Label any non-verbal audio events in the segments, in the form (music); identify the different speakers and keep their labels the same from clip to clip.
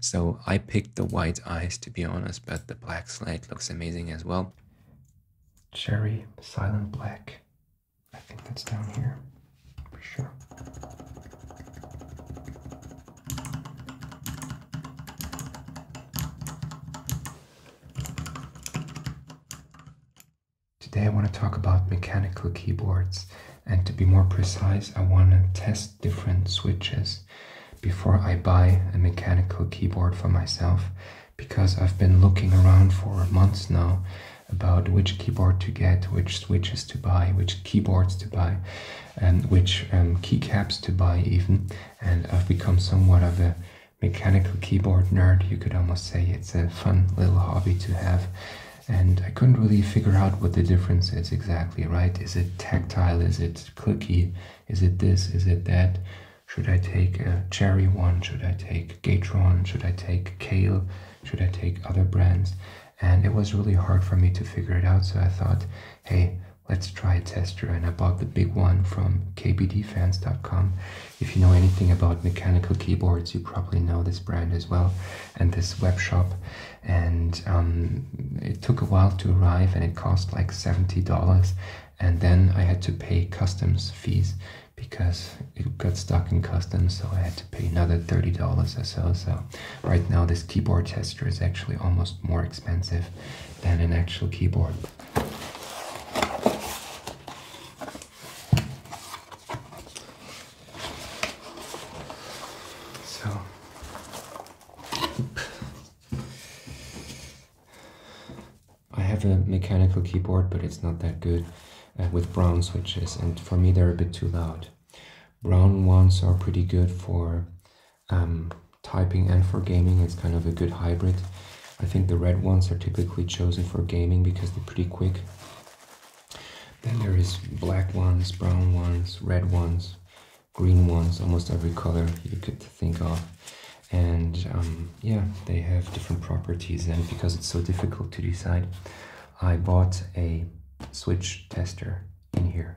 Speaker 1: So I picked the white eyes to be honest, but the black slate looks amazing as well. Cherry Silent Black. I think that's down here for sure. Today I want to talk about mechanical keyboards and to be more precise I want to test different switches before I buy a mechanical keyboard for myself because I've been looking around for months now about which keyboard to get, which switches to buy, which keyboards to buy, and which um, keycaps to buy even. And I've become somewhat of a mechanical keyboard nerd, you could almost say. It's a fun little hobby to have. And I couldn't really figure out what the difference is exactly, right? Is it tactile? Is it clicky? Is it this? Is it that? Should I take a cherry one? Should I take Gatron? Should I take Kale? Should I take other brands? And it was really hard for me to figure it out. So I thought, hey, let's try a tester. And I bought the big one from kbdfans.com. If you know anything about mechanical keyboards, you probably know this brand as well and this web shop. And um, it took a while to arrive and it cost like $70. And then I had to pay customs fees because it got stuck in customs, so I had to pay another $30 or so. So right now this keyboard tester is actually almost more expensive than an actual keyboard. So. I have a mechanical keyboard, but it's not that good uh, with brown switches, and for me they're a bit too loud. Brown ones are pretty good for um, typing and for gaming. It's kind of a good hybrid. I think the red ones are typically chosen for gaming because they're pretty quick. Then there is black ones, brown ones, red ones, green ones, almost every color you could think of. And um, yeah, they have different properties and because it's so difficult to decide, I bought a switch tester in here.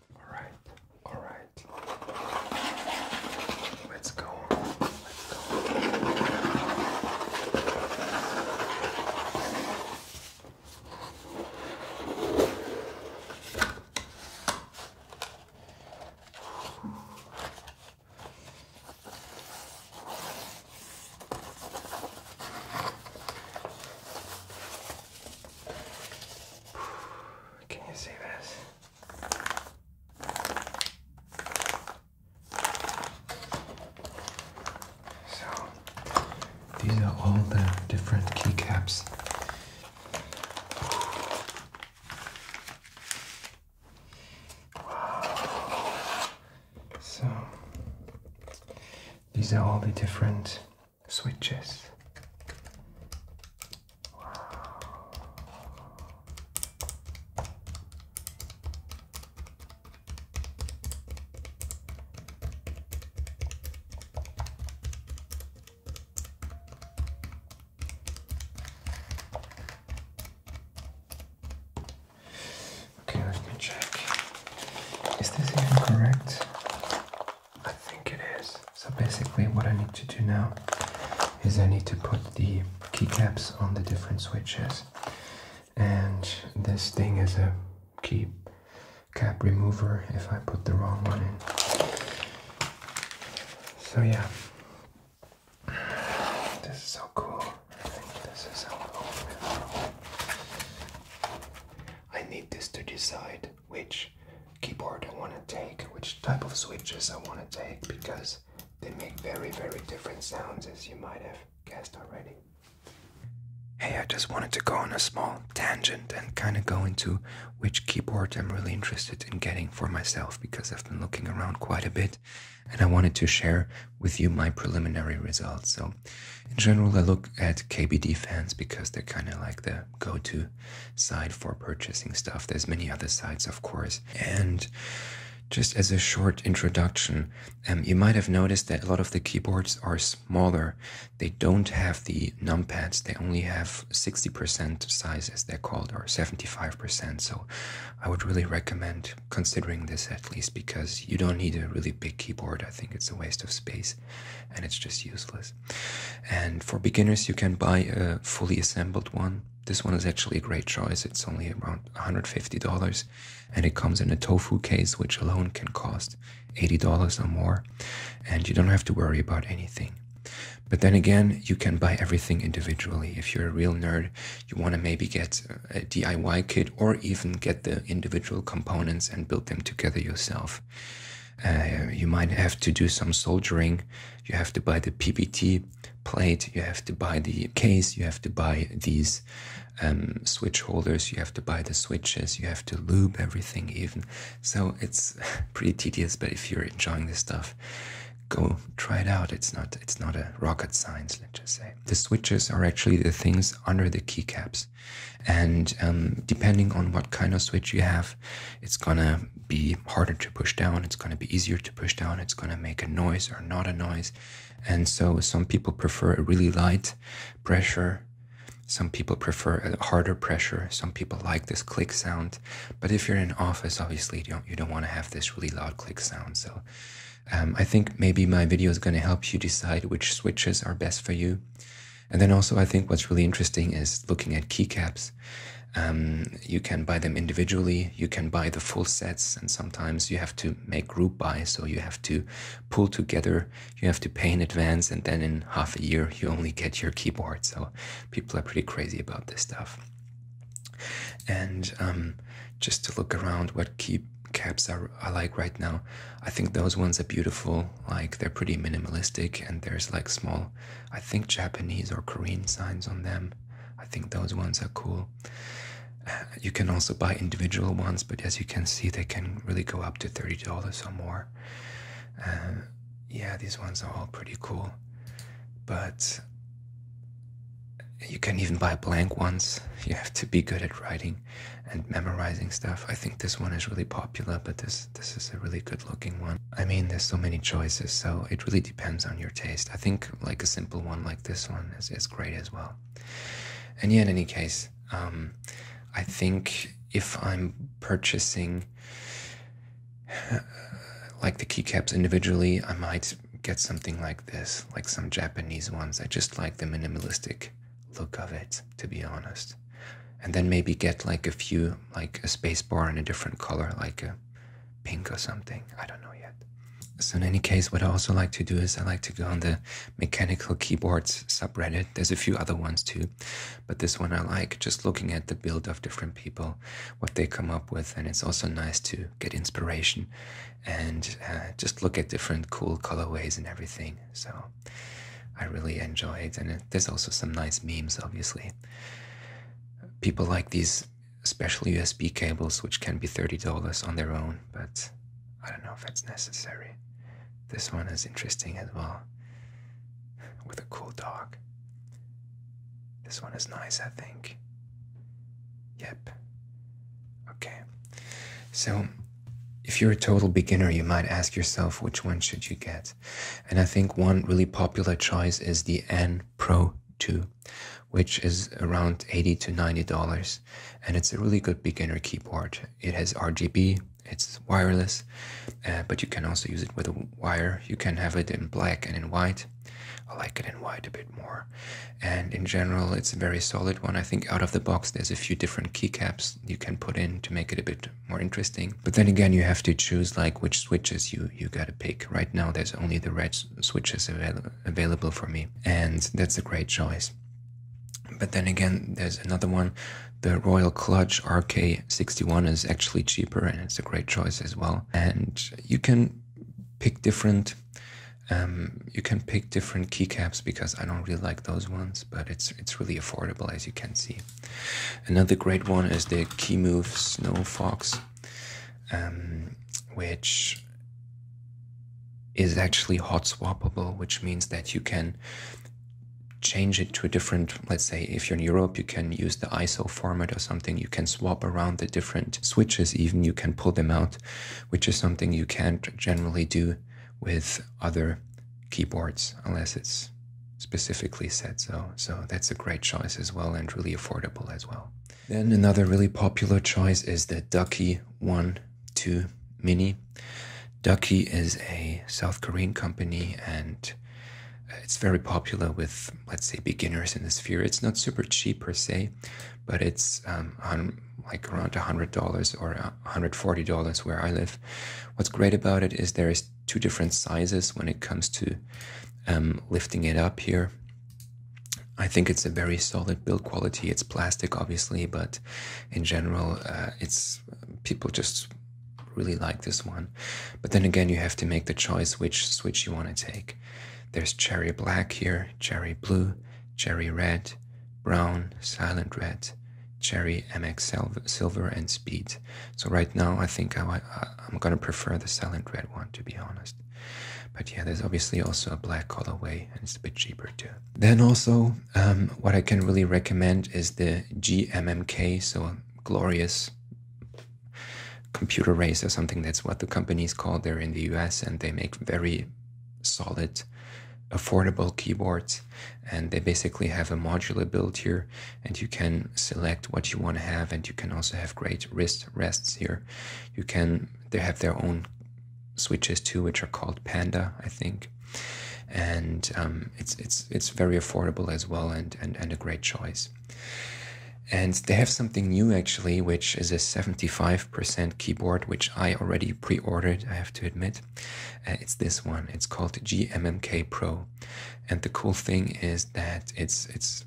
Speaker 1: Alright, alright. Let's go Let's go Can you see this? So, these are all the different keycaps. Wow. So, these are all the different switches. Okay, let me check. Is this even correct? I think it is. So basically what I need to do now is I need to put the keycaps on the different switches. And this thing is a key cap remover if I put the wrong one in. So yeah, this is so cool. I this is so cool. I need this to decide which keyboard I want to take, which type of switches I want to take, because they make very, very different sounds, as you might have guessed already. Hey, I just wanted to go on a small tangent and kind of go into which keyboard I'm really interested in getting for myself because I've been looking around quite a bit and I wanted to share with you my preliminary results. So, in general, I look at KBD fans because they're kind of like the go-to site for purchasing stuff. There's many other sites, of course. And just as a short introduction, um, you might have noticed that a lot of the keyboards are smaller. They don't have the numpads. They only have 60% size, as they're called, or 75%. So I would really recommend considering this at least because you don't need a really big keyboard. I think it's a waste of space and it's just useless. And for beginners, you can buy a fully assembled one. This one is actually a great choice. It's only around $150 and it comes in a tofu case, which alone can cost $80 or more. And you don't have to worry about anything. But then again, you can buy everything individually. If you're a real nerd, you want to maybe get a DIY kit or even get the individual components and build them together yourself. Uh, you might have to do some soldering. You have to buy the PPT plate. You have to buy the case. You have to buy these um, switch holders. You have to buy the switches. You have to lube everything even. So it's (laughs) pretty tedious. But if you're enjoying this stuff, go try it out. It's not it's not a rocket science. Let's just say the switches are actually the things under the keycaps, and um, depending on what kind of switch you have, it's gonna be harder to push down, it's gonna be easier to push down, it's gonna make a noise or not a noise. And so some people prefer a really light pressure. Some people prefer a harder pressure. Some people like this click sound. But if you're in office, obviously you don't, you don't want to have this really loud click sound. So um, I think maybe my video is going to help you decide which switches are best for you. And then also I think what's really interesting is looking at keycaps um, you can buy them individually, you can buy the full sets, and sometimes you have to make group buy, so you have to pull together, you have to pay in advance, and then in half a year you only get your keyboard. So people are pretty crazy about this stuff. And um, just to look around what key caps are, like right now. I think those ones are beautiful. Like they're pretty minimalistic and there's like small I think Japanese or Korean signs on them. I think those ones are cool. Uh, you can also buy individual ones, but as you can see, they can really go up to $30 or more. Uh, yeah, these ones are all pretty cool. But you can even buy blank ones. You have to be good at writing and memorizing stuff. I think this one is really popular, but this this. is a really good looking one. I mean, there's so many choices, so it really depends on your taste. I think like a simple one like this one is, is great as well. And yeah, in any case, um, I think if I'm purchasing (sighs) like the keycaps individually, I might get something like this, like some Japanese ones. I just like the minimalistic look of it, to be honest. And then maybe get like a few like a space bar in a different color, like a pink or something. I don't know yet. So in any case, what I also like to do is I like to go on the mechanical keyboards subreddit. There's a few other ones too, but this one I like, just looking at the build of different people, what they come up with. And it's also nice to get inspiration and uh, just look at different cool colorways and everything. So I really enjoy it. And there's also some nice memes, obviously people like these special USB cables, which can be $30 on their own, but I don't know if that's necessary. This one is interesting as well, with a cool dog. This one is nice, I think. Yep. Okay. So, if you're a total beginner, you might ask yourself which one should you get? And I think one really popular choice is the N Pro 2, which is around 80 to 90 dollars. And it's a really good beginner keyboard. It has RGB, it's wireless, uh, but you can also use it with a wire. You can have it in black and in white. I like it in white a bit more. And in general, it's a very solid one. I think out of the box, there's a few different keycaps you can put in to make it a bit more interesting. But then again, you have to choose like which switches you, you gotta pick. Right now, there's only the red switches available available for me. And that's a great choice. But then again, there's another one. The Royal Clutch RK61 is actually cheaper and it's a great choice as well. And you can pick different um, you can pick different keycaps because I don't really like those ones, but it's it's really affordable as you can see. Another great one is the KeyMove Snow Fox, um, which is actually hot swappable, which means that you can change it to a different, let's say if you're in Europe, you can use the ISO format or something. You can swap around the different switches, even you can pull them out, which is something you can't generally do with other keyboards unless it's specifically said so. So that's a great choice as well and really affordable as well. Then another really popular choice is the Ducky 1 2 Mini. Ducky is a South Korean company and it's very popular with, let's say, beginners in the sphere. It's not super cheap per se, but it's um, like around $100 or $140 where I live. What's great about it is there is two different sizes when it comes to um, lifting it up here. I think it's a very solid build quality. It's plastic, obviously, but in general, uh, it's people just really like this one. But then again, you have to make the choice which switch you want to take. There's cherry black here, cherry blue, cherry red, brown, silent red, cherry MX silver, and speed. So right now, I think I, am gonna prefer the Silent Red one, to be honest. But yeah, there's obviously also a black colorway, and it's a bit cheaper too. Then also, um, what I can really recommend is the GMMK, so Glorious Computer Race or something. That's what the company is called. They're in the US, and they make very solid affordable keyboards and they basically have a modular build here and you can select what you want to have and you can also have great wrist rests here. You can, they have their own switches too, which are called Panda, I think. And um, it's, it's, it's very affordable as well and, and, and a great choice. And they have something new actually, which is a 75% keyboard, which I already pre ordered, I have to admit. Uh, it's this one. It's called GMMK Pro. And the cool thing is that it's it's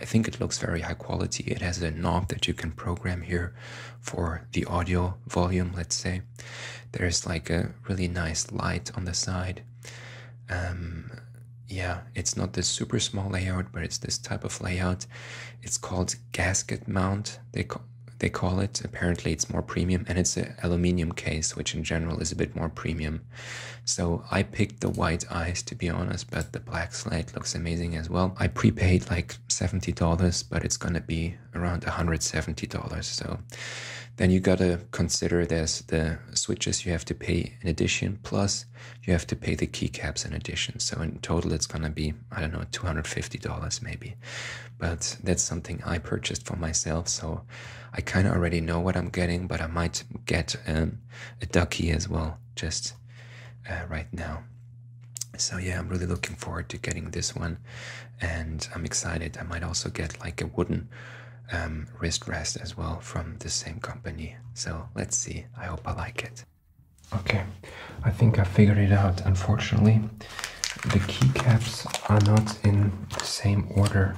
Speaker 1: I think it looks very high quality. It has a knob that you can program here for the audio volume, let's say. There's like a really nice light on the side. Um, yeah, it's not this super small layout, but it's this type of layout. It's called gasket mount. They call they call it. Apparently, it's more premium, and it's an aluminium case, which in general is a bit more premium so I picked the white eyes to be honest, but the black slate looks amazing as well. I prepaid like $70, but it's gonna be around $170. So then you gotta consider there's the switches you have to pay in addition, plus you have to pay the keycaps in addition. So in total, it's gonna be, I don't know, $250 maybe. But that's something I purchased for myself. So I kind of already know what I'm getting, but I might get um, a ducky as well just uh, right now. So yeah, I'm really looking forward to getting this one, and I'm excited. I might also get like a wooden um, wrist rest as well from the same company. So let's see. I hope I like it. Okay, I think I figured it out. Unfortunately, the keycaps are not in the same order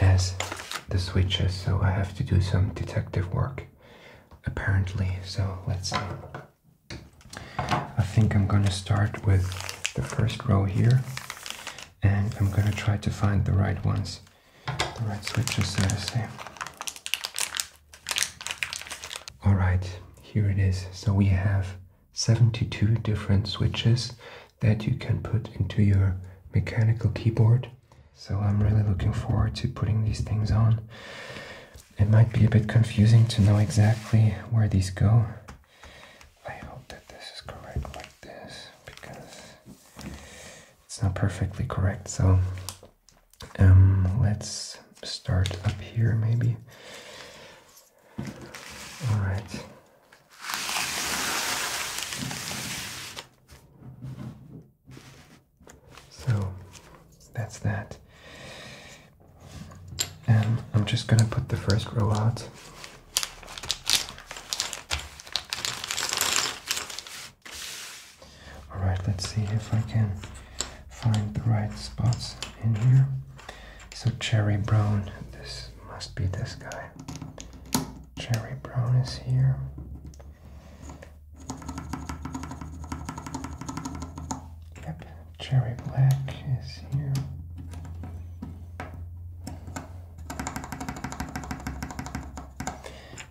Speaker 1: as the switches, so I have to do some detective work, apparently. So let's see. I think I'm gonna start with the first row here, and I'm gonna try to find the right ones, the right switches, so to say. All right, here it is. So we have 72 different switches that you can put into your mechanical keyboard. So I'm really looking forward to putting these things on. It might be a bit confusing to know exactly where these go. I hope that this is correct like this because it's not perfectly correct. So um, let's start up here maybe. All right, so that's that. And I'm just gonna put the first row out. Alright, let's see if I can find the right spots in here. So cherry brown, this must be this guy. Cherry brown is here. Yep, cherry black is here.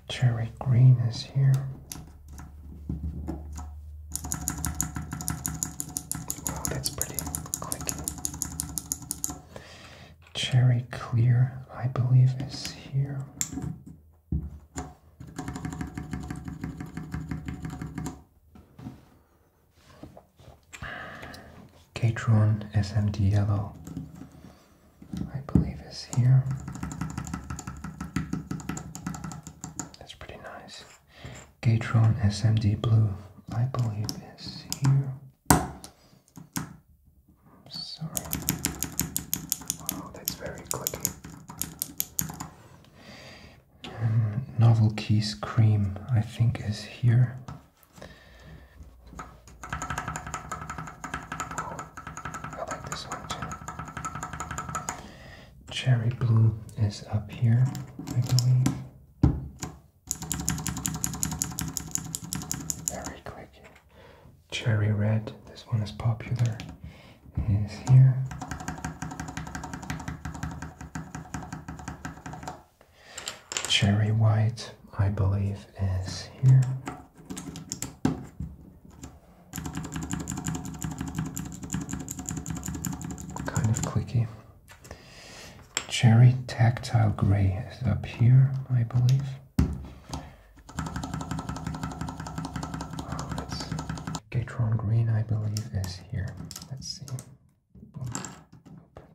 Speaker 1: Cherry green is here. Wow, oh, that's pretty clicky. Cherry Clear, I believe, is here. Gatron SMD Yellow, I believe, is here. That's pretty nice. Gatron SMD Blue, I believe, is here. Sorry. Wow, oh, that's very clicky. Um, Cream, I think, is here. I like this one too. Cherry Blue is up here, I believe. Very quick. Cherry red, this one is popular. Is here. Cherry white, I believe, is here. Kind of clicky. Cherry Tactile Gray is up here, I believe. Oh, Gatron Green, I believe, is here. Let's see.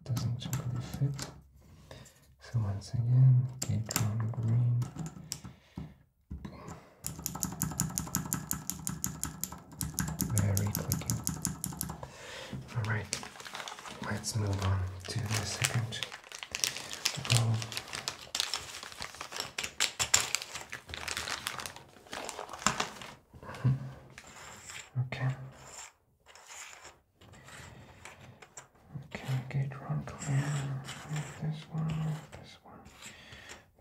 Speaker 1: doesn't really fit. So once again, Gatron Green. Very clicking. All right, let's move on to the second mm-hmm. Okay. Okay, get one clear. This one, this one, this one,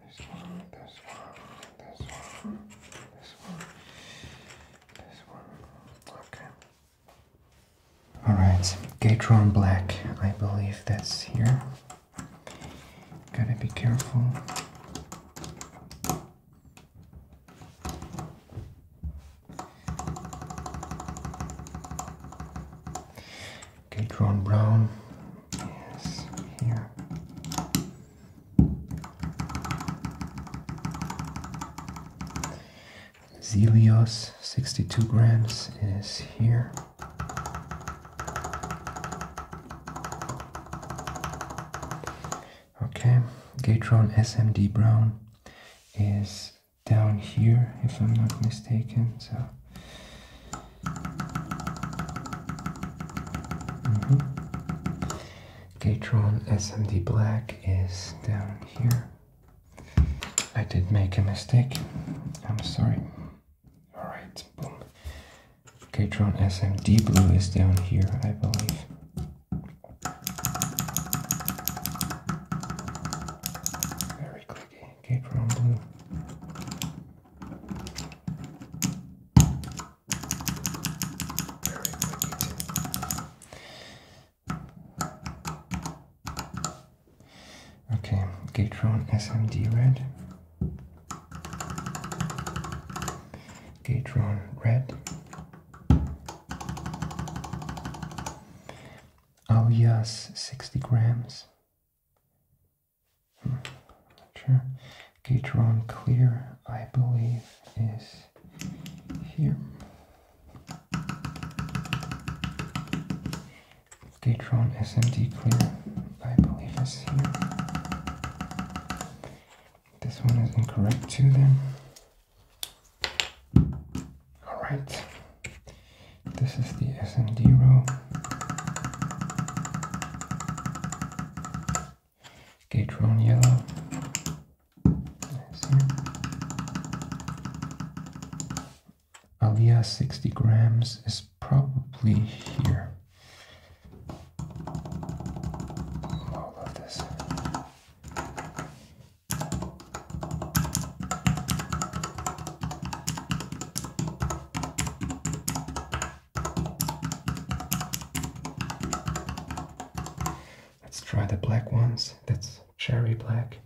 Speaker 1: this one, this one, this one, this one. Okay. Alright, Gatron Black, I believe that's here. Gotta be careful. Gatron Brown is here. Zelios, 62 grams, is here. Okay, Gatron SMD Brown is down here, if I'm not mistaken. So. Mm Gatron SMD Black is down here. I did make a mistake. I'm sorry. Alright, boom. Gatron SMD Blue is down here, I believe. Very clicky. Gatron Blue. Very clicky Okay, Gatron SMD red. Gatron red. Oh yes, 60 grams. Hmm, not sure. Gatron clear, I believe, is here. Datron SMD Clear, I believe is here. This one is incorrect too then. Alright, this is the SMD row. Gatron yellow, Avia 60 grams is probably here. All of this. Let's try the black ones. That's cherry black.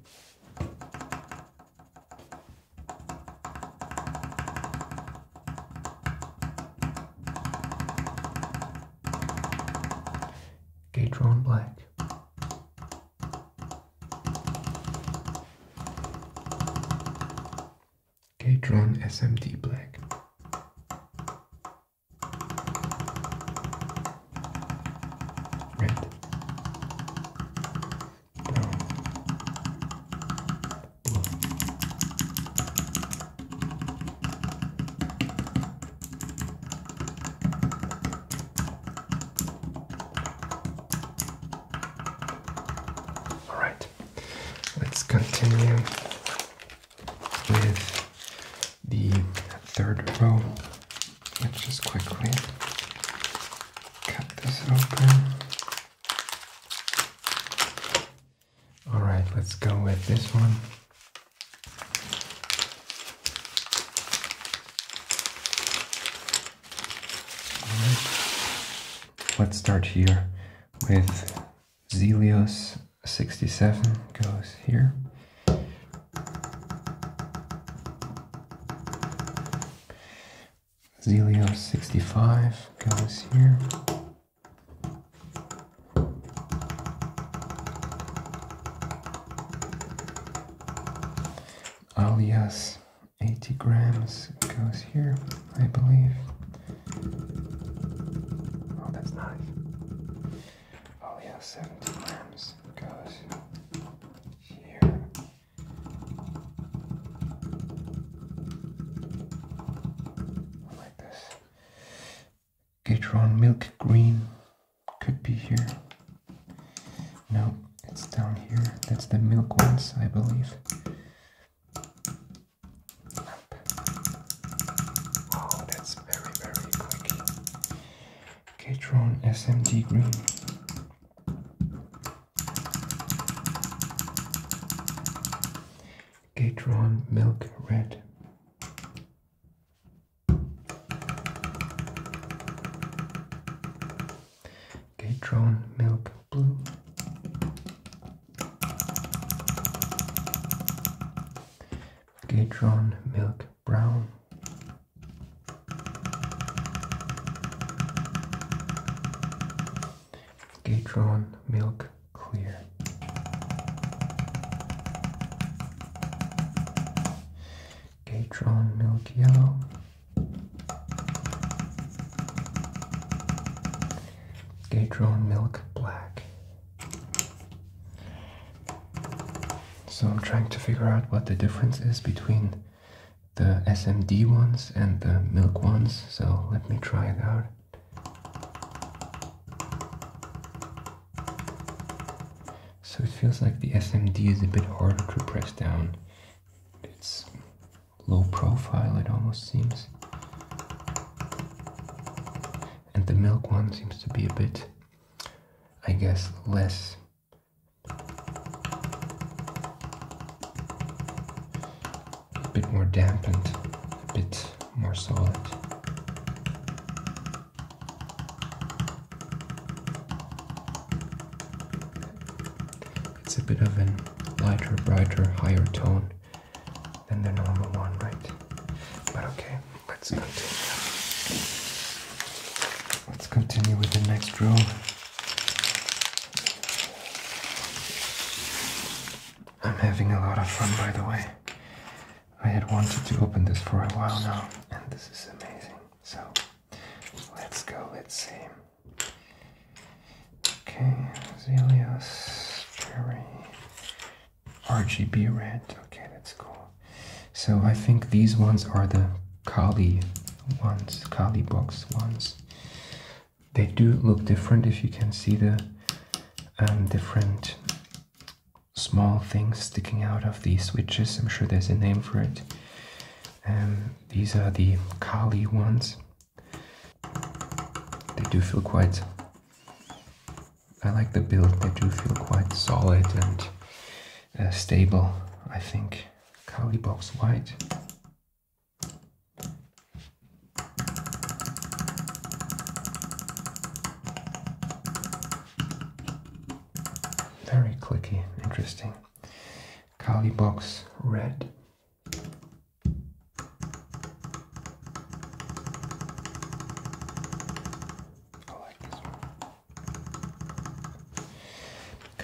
Speaker 1: Gatron black. Gatron SMD black. All right, let's continue with the third row. Let's just quickly cut this open. Alright, let's go with this one. All right. Let's start here with Zelios 67 goes here. Zelio 65 goes here. Alias 80 grams goes here, I believe. Oh, that's nice. Oh yeah, 17 grams goes here. Like this. Gatron milk green could be here. No, it's down here. That's the milk ones, I believe. Oh, that's very, very quick. Catron SMD Green. Catron Milk Red. Catron Milk Blue. Gadron Milk Brown. Gatron Milk Clear. Gatron Milk Yellow. Gatron Milk Black. So I'm trying to figure out what the difference is between the SMD ones and the milk ones, so let me try it out. So it feels like the SMD is a bit harder to press down. It's low profile, it almost seems. And the milk one seems to be a bit I guess, less a bit more dampened, a bit more solid. It's a bit of a lighter, brighter, higher tone than the normal one, right? But okay let's continue. Let's continue with the next room. I'm having a lot of fun by the way. I had wanted to open this for a while now and this is amazing. So let's go, let's see. Okay, Zelios, Cherry, RGB red. Okay, that's cool. So I think these ones are the Kali ones, Kali box ones. They do look different if you can see the um, different small things sticking out of these switches. I'm sure there's a name for it. Um, these are the Kali ones. They do feel quite I like the build. They do feel quite solid and uh, stable, I think. Kali Box White. Very clicky, interesting. Kali Box Red.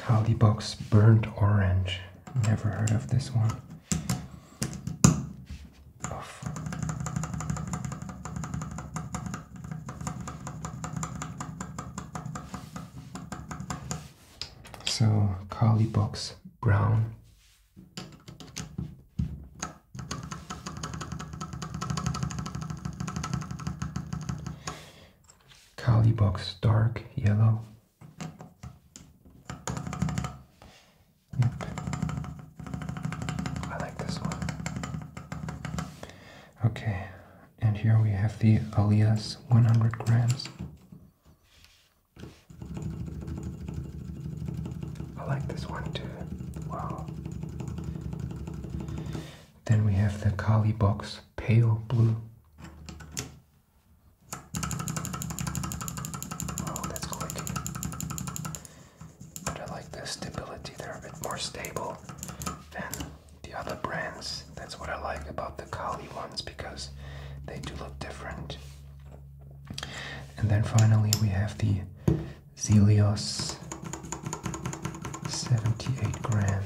Speaker 1: I like Burnt Orange. Never heard of this one. Oof. So, Calibox Brown. Kali box dark yellow. Yep. I like this one. Okay, and here we have the alias 100 grams. I like this one too. Wow. Then we have the Kali box pale blue. Oh, that's clicky. But I like the stability. They're a bit more stable than the other brands. That's what I like about the Kali ones because they do look different. And then finally we have the Zelios 78 grams.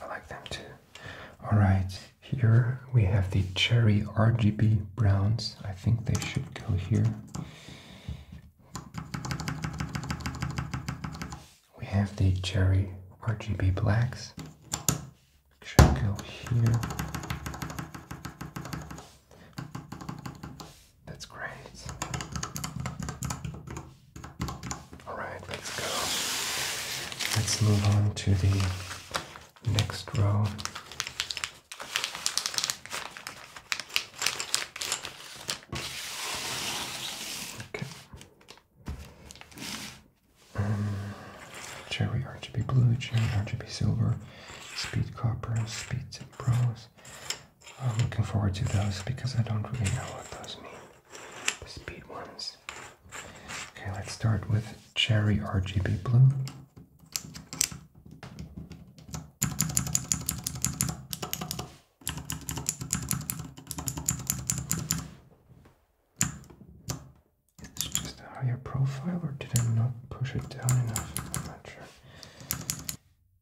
Speaker 1: I like them too. Alright, here we have the cherry RGB browns. I think they should go here. We have the cherry RGB blacks should go here. That's great. Alright, let's go. Let's move on to the next row. Okay. Um, cherry RGB blue, cherry RGB silver, speed copper, speed bronze. I'm looking forward to those because I don't really know what those mean. speed ones. Okay, let's start with cherry RGB blue. Is the higher profile or did I not push it down enough? not sure.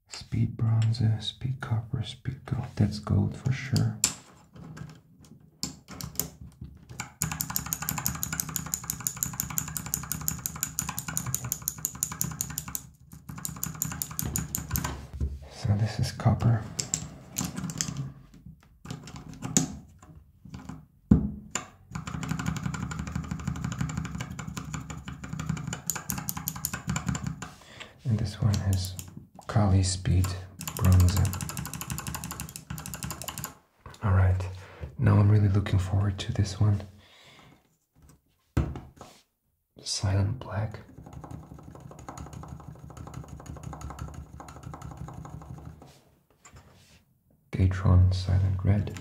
Speaker 1: Speed bronze, uh, speed copper, speed gold. That's gold for sure. So this is copper. And this one is Kali Speed Bronze. Alright, now I'm really looking forward to this one. Silent Black. Gatron Silent Red.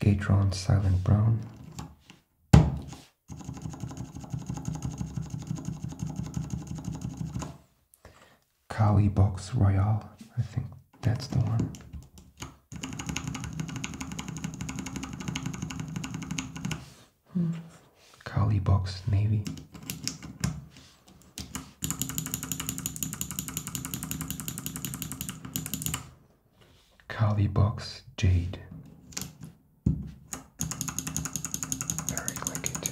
Speaker 1: Gatron Silent Brown. Kali Box Royale, I think that's the one. Hmm. Kali box navy. Kali box jade. Very click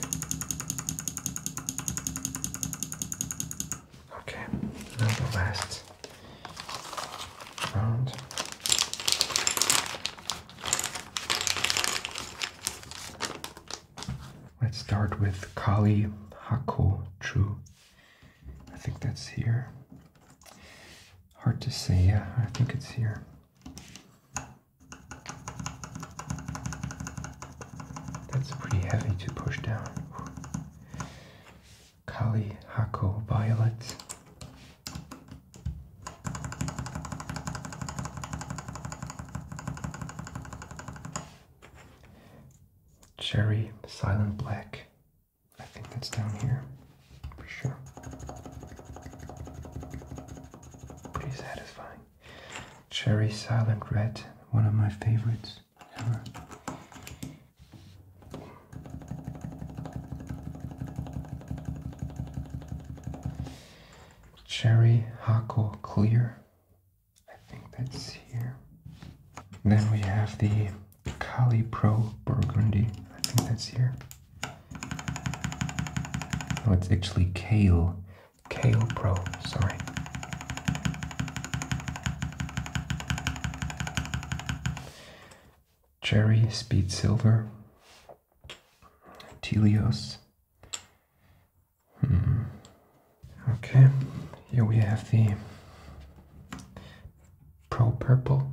Speaker 1: Okay, now the last Let's start with Kali Hako True, I think that's here. Hard to say, yeah, I think it's here. That's pretty heavy to push down. Kali Hako Violet. Cherry Silent Black. I think that's down here for sure. Pretty satisfying. Cherry Silent Red, one of my favorites ever. Cherry Hako Clear. I think that's here. then we have the Kali Pro Burgundy. I think that's here. No, it's actually Kale. Kale Pro, sorry. Cherry, Speed Silver, Telios. Hmm. Okay, here we have the Pro Purple.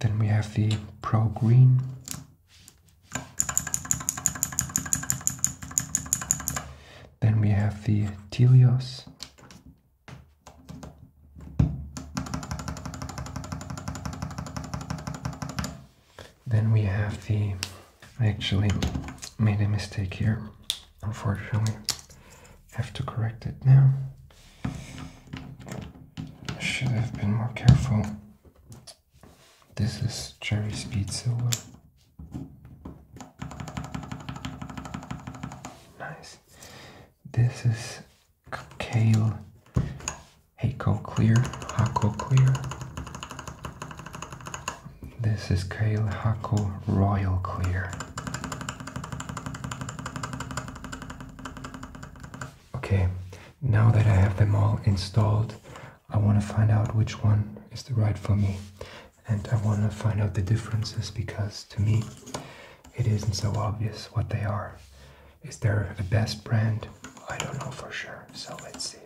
Speaker 1: Then we have the Pro Green. Then we have the Telios. Then we have the, I actually made a mistake here, unfortunately, have to correct it now. Should have been more careful. This is cherry speed silver. Nice. This is kale Hako Clear. Hako Clear. This is Kale Hako Royal Clear. Okay, now that I have them all installed, I want to find out which one is the right for me and I want to find out the differences because to me it isn't so obvious what they are. Is there a best brand? I don't know for sure, so let's see.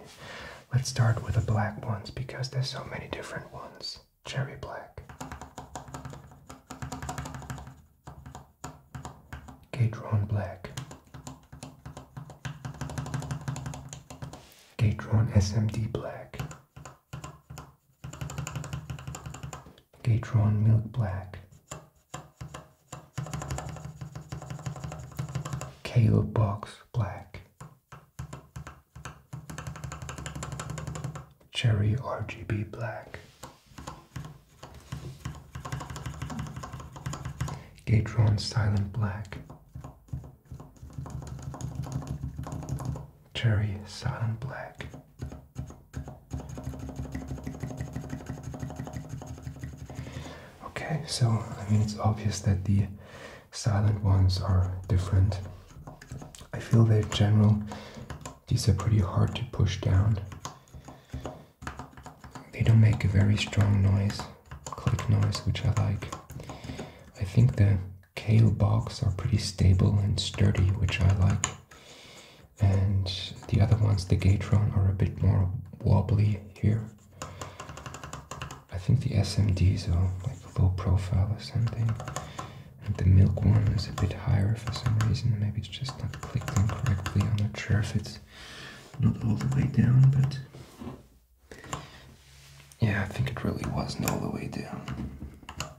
Speaker 1: Let's start with the black ones because there's so many different ones. Cherry black. Gatron black. Gatron SMD black. Gatron Milk Black, Kale Box Black, Cherry RGB Black, Gatron Silent Black, Cherry Silent Black. Okay, so I mean, it's obvious that the silent ones are different. I feel that in general, these are pretty hard to push down. They don't make a very strong noise, click noise, which I like. I think the kale bogs are pretty stable and sturdy, which I like. And the other ones, the Gatron, are a bit more wobbly here. I think the SMDs are like low profile or something. And the milk one is a bit higher for some reason. Maybe it's just not clicked in correctly. I'm not sure if it's not all the way down, but yeah, I think it really wasn't all the way down.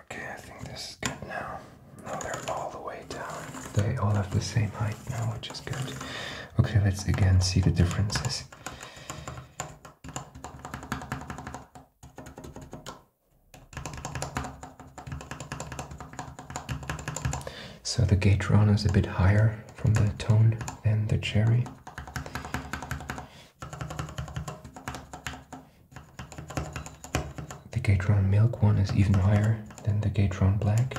Speaker 1: Okay, I think this is good now. Now they're all the way down. They all have the same height now, which is good. Okay, let's again see the differences. So the Gatron is a bit higher from the tone than the cherry. The Gatron Milk one is even higher than the Gatron Black.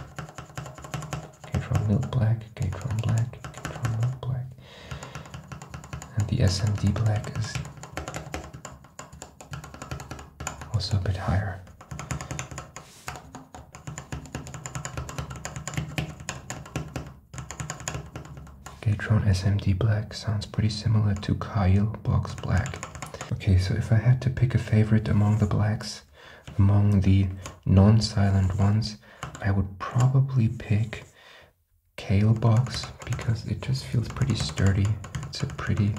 Speaker 1: Gatron Milk Black, Gatron Black, Gatron Milk Black. And the SMD Black is also a bit higher. Gatron SMD Black sounds pretty similar to Kyle Box Black. Okay, so if I had to pick a favorite among the blacks, among the non-silent ones, I would probably pick Kale Box because it just feels pretty sturdy. It's a pretty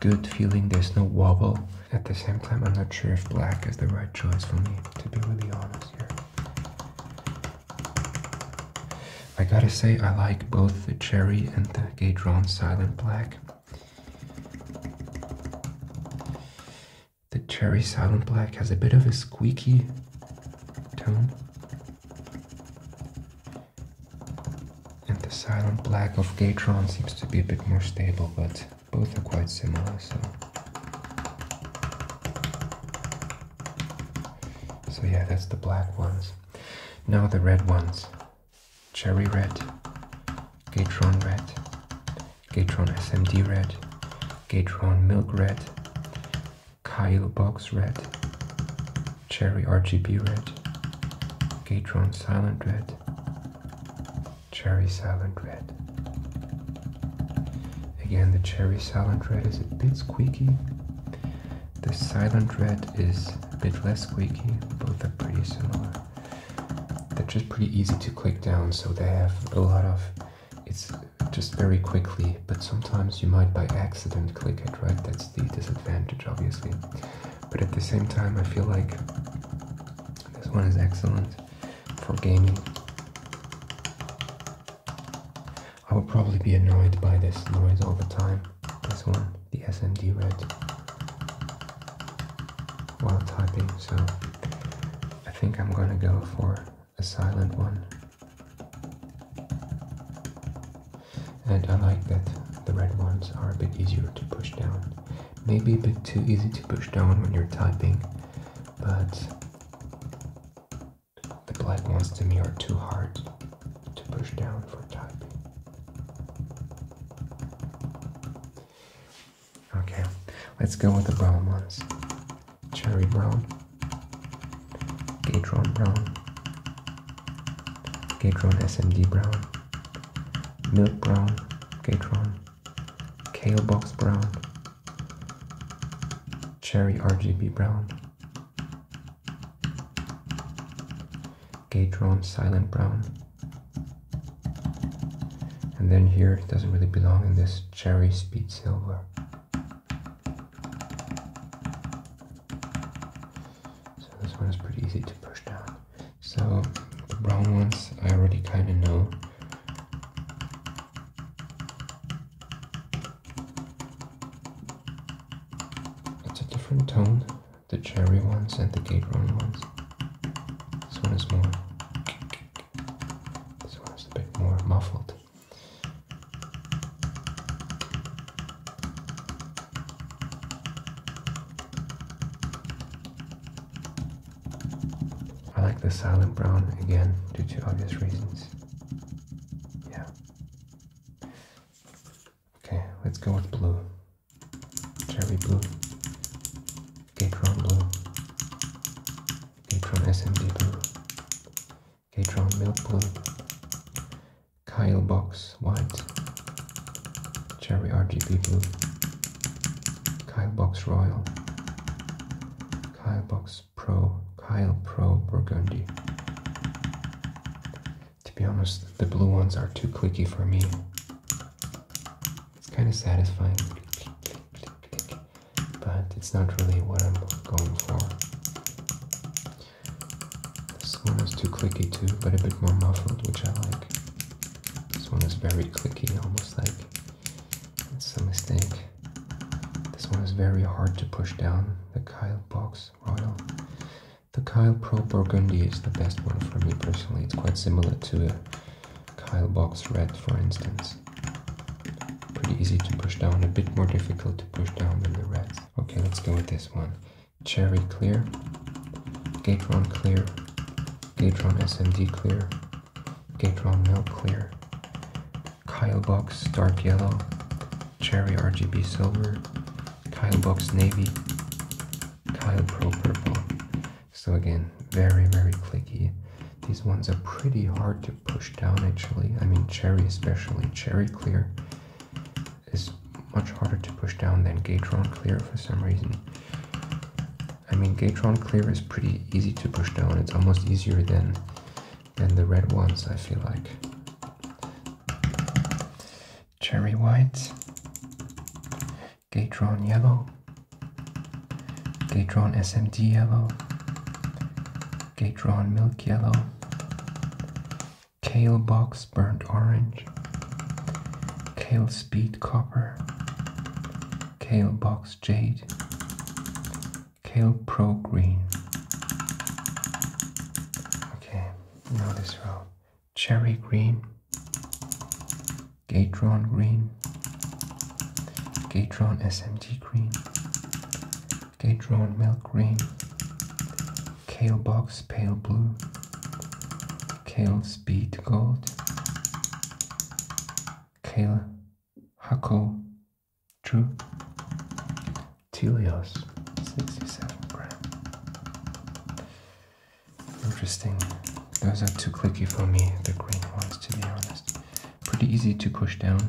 Speaker 1: good feeling. There's no wobble. At the same time, I'm not sure if black is the right choice for me, to be really honest here. I gotta say, I like both the cherry and the Gadron Silent Black. The cherry Silent Black has a bit of a squeaky tone. And the silent black of Gatron seems to be a bit more stable, but both are quite similar, so. So yeah, that's the black ones. Now the red ones. Cherry red, Gatron red, Gatron SMD red, Gatron milk red, Kyle box red, Cherry RGB Red, Gatron Silent Red, Cherry Silent Red. Again, the Cherry Silent Red is a bit squeaky. The Silent Red is a bit less squeaky. Both are pretty similar. They're just pretty easy to click down, so they have a lot of. It's just very quickly, but sometimes you might by accident click it, right? That's the disadvantage, obviously but at the same time, I feel like this one is excellent for gaming. I would probably be annoyed by this noise all the time. This one, the SMD Red, while typing, so I think I'm gonna go for a silent one. And I like that the red ones are a bit easier to push down. Maybe a bit too easy to push down when you're typing, but the black ones to me are too hard to push down for typing. Okay, let's go with the brown ones. Cherry brown, Cadron brown, Cadron SMD brown, milk brown, gatron, kale box brown, cherry RGB brown, gatron silent brown. And then here doesn't really belong in this cherry speed silver. So this one is pretty easy to push down. So the brown ones I already kind of know. It's a different tone, the cherry ones and the gate run ones. This one is more, this one is a bit more muffled. I like the silent brown again due to obvious reasons. Yeah. Okay, let's go with blue. Cherry blue. Gatron blue. Gatron SMD blue. Gatron milk blue. Kyle Box White, Cherry RGB Blue, Kyle Box Royal, Kyle Box Pro, Kyle Pro Burgundy. To be honest, the blue ones are too clicky for me. It's kind of satisfying, but it's not really what I'm going for. This one is too clicky too, but a bit more muffled, which I like. This one is very clicky, almost like it's a mistake. This one is very hard to push down. The Kyle Box Royal. The Kyle Pro Burgundy is the best one for me personally. It's quite similar to a Kyle Box Red, for instance. Pretty easy to push down, a bit more difficult to push down than the Reds. Okay, let's go with this one. Cherry clear, Gatron clear, Gatron SMD clear, Gatron milk clear, Kylebox dark yellow, Cherry RGB silver, Kylebox navy, Kyle Pro purple. So again, very, very clicky. These ones are pretty hard to push down actually. I mean, Cherry especially, Cherry clear is much harder to push down than Gatron Clear for some reason. I mean, Gatron Clear is pretty easy to push down. It's almost easier than, than the red ones, I feel like. Cherry White. Gatron Yellow. Gatron SMD Yellow. Gatron Milk Yellow. Kale box burnt orange. Kale speed copper. Kale box jade. Kale pro green. Okay, now this row. Cherry green. Gatron green. Gatron SMT green. Gatron milk green. Kale box pale blue. Kale speed gold. Kale Hako True. Tilios 67 gram. Interesting. Those are too clicky for me, the green ones to be honest. Pretty easy to push down.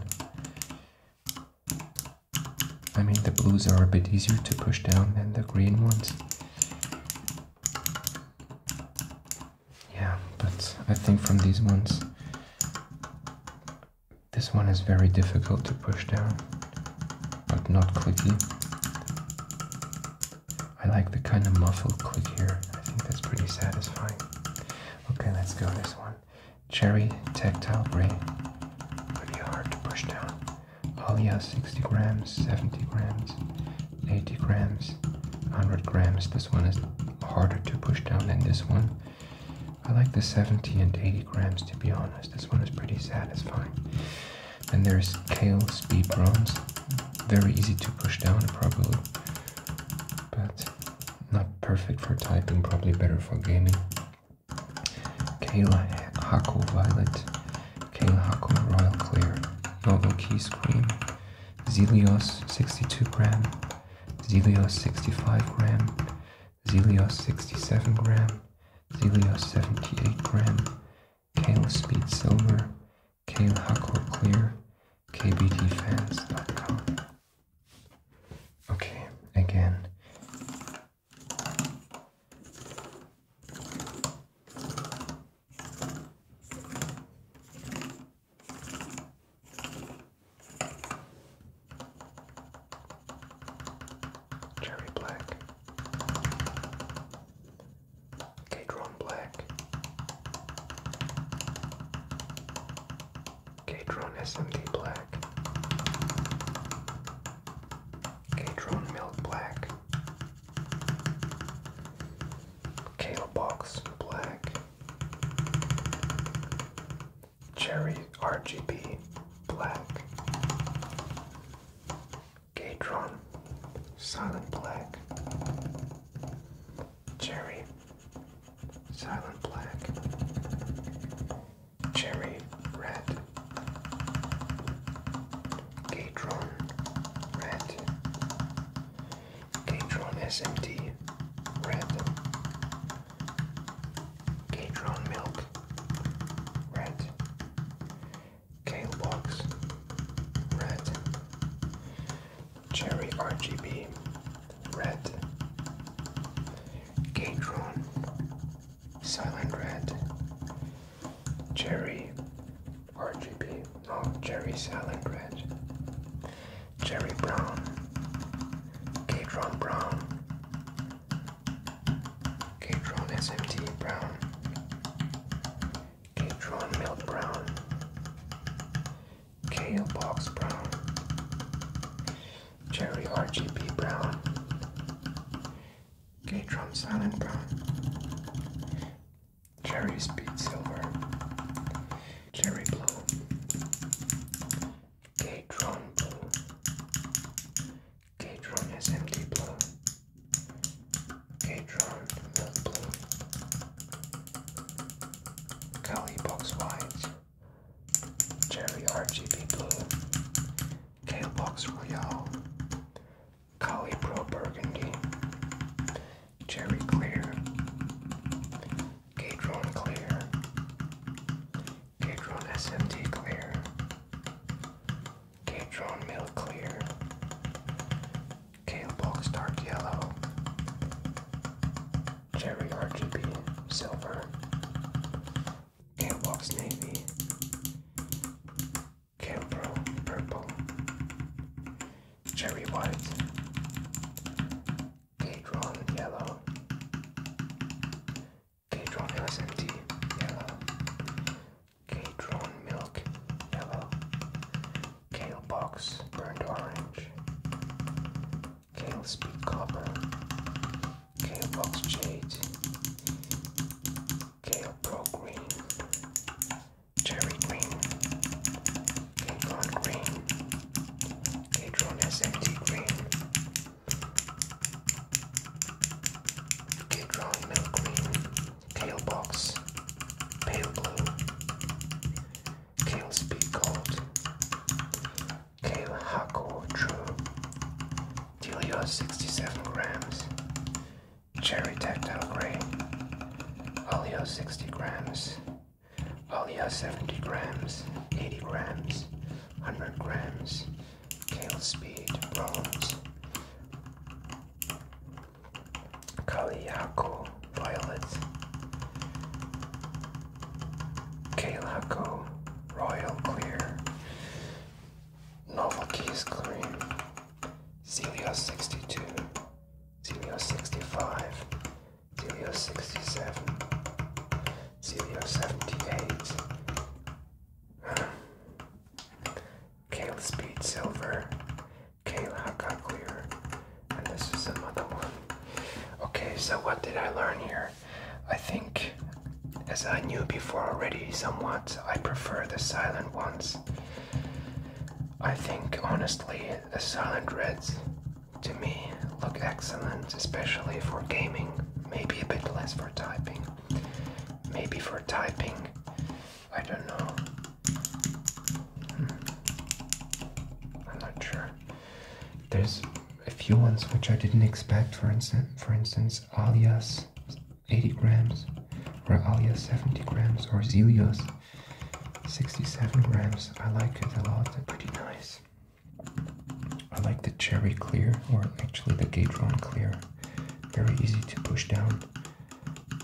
Speaker 1: I mean the blues are a bit easier to push down than the green ones. Yeah, but I think from these ones, this one is very difficult to push down, but not clicky. I like the kind of muffled click here. I think that's pretty satisfying. Okay, let's go this one. Cherry Tactile Gray. Pretty hard to push down. Oh, Alia 60 grams, 70 grams, 80 grams, 100 grams. This one is harder to push down than this one. I like the 70 and 80 grams to be honest. This one is pretty satisfying. And there's Kale Speed Bronze. Very easy to push down probably. But not perfect for typing, probably better for gaming. Kayla Hako Violet. King Hako Royal Clear, Noble Key Scream, Zelios 62 gram, Zelios 65 gram, Zelios 67 gram, Zelios 78 gram, Kale Speed Silver, Kale Hako Clear, KBTFans.com. Okay, again, Cherry Black, Cadron Black, Cadron SMD Black, Cadron Milk Black, Kale Box Black, Cherry RGB Black, Gatron Silent Black, Cherry Silent Black, Cherry Red. Gatron Red, Gatron SMT Red, Gatron Milk Red, Kalebox Red, Cherry RGB Red, Gatron Silent Red, Cherry RGB, no, Cherry Silent Red, Cherry Brown, k Brown, k SMT Brown, K-Tron Milk Brown, Kale Box Brown, Cherry RGB Brown, Gay drum silent brown. Cherry speed silver. Cherry blue. Gay drum blue. Gay drum is empty blue. Gay drum milk blue. Cali box white. Cherry RGB blue. Kale box royale. Colibri Burgundy, Cherry Clear, Cadron Clear, Cadron SMT Clear, Cadron Mill Clear, Kale Box Dark Yellow, Cherry RGB Silver, Kale Box Navy, Cambrel Purple, Cherry White, Cadron Yellow, Cadron LSMT Yellow, Cadron Milk Yellow, Kale Box Burned Orange, Kale Speed Copper, Kale Box Jade, Kale Pro Green, Cherry Green, K-Con Green, K-Tron Green, K-Tron Milk Green, Kale Box, Pale Blue, Kale Speed Gold, Kale Hako True, you're 67 grams, Cherry Tactile Gray, Oleo 60 grams, Oleo 70 grams, 80 grams, 100 grams, Kale Speed, Bronze, Kaliako, Violet, Kalako, Royal Clear, Novel Keys Cream, Celio 62, Celio 65, Celio 67, Celio 78, (sighs) Kayla Speed Silver, Kayla Haka Clear, and this is another one. Okay, so what did I learn here? I think as I knew before already somewhat, I prefer the silent ones. I think honestly, the silent reds to me look excellent, especially for gaming, maybe a bit less for typing. Maybe for typing, I don't know. Hmm. I'm not sure. There's a few ones which I didn't expect, for instance, for instance, alias 80 grams, Realia 70 grams, or Zelios 67 grams. I like it a lot, they're pretty nice. I like the cherry clear, or actually the Gatron clear. Very easy to push down.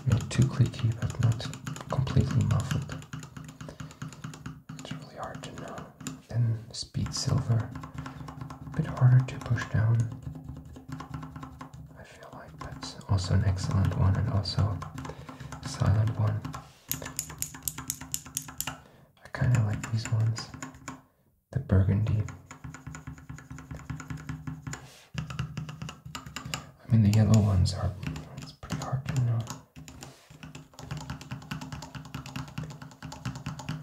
Speaker 1: Not too clicky, but not completely muffled. It's really hard to know. Then Speed Silver, a bit harder to push down. I feel like that's also an excellent one and also a silent one. I kind of like these ones. The burgundy. I mean, the yellow ones are it's pretty hard to know.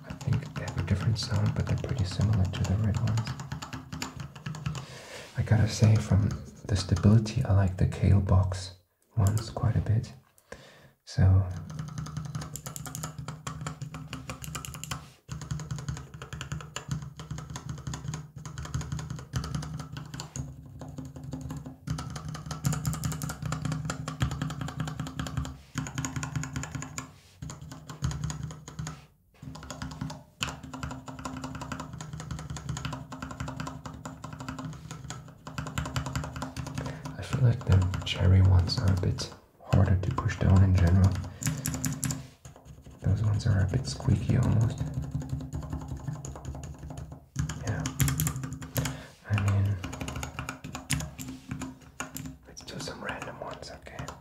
Speaker 1: I think they have a different sound, but they're pretty similar to the red ones. I gotta say, from the stability, I like the Kale Box ones quite a bit. So. I feel like the cherry ones are a bit harder to push down in general. Those ones are a bit squeaky almost. Yeah. I mean, let's do some random ones, okay?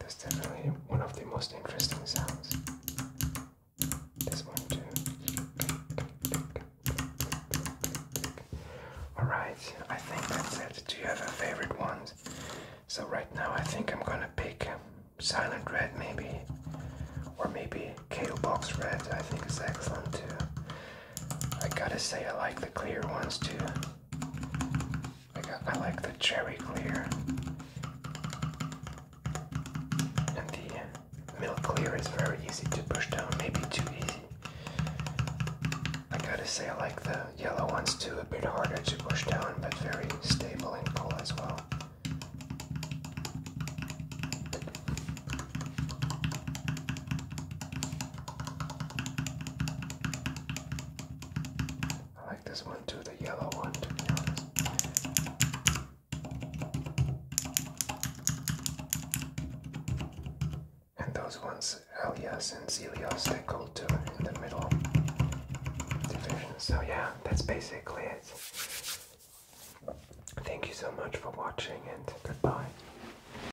Speaker 1: That's definitely one of the most interesting sounds. This one too. Alright, I think that's it. Do you have a favorite one? So right now I think I'm gonna pick Silent Red maybe. Or maybe Kale Box Red, I think is excellent too. I gotta say, I like the clear ones too. I, like the cherry clear. And the milk clear is very easy to push down, maybe too easy. I gotta say, I like the yellow ones too, a bit harder to push down, but very stable and cool as well. I like this one too, the yellow one to And those ones, Elias and Zelios, they go to in the middle division. So yeah, that's basically it. Thank you so much for watching and goodbye.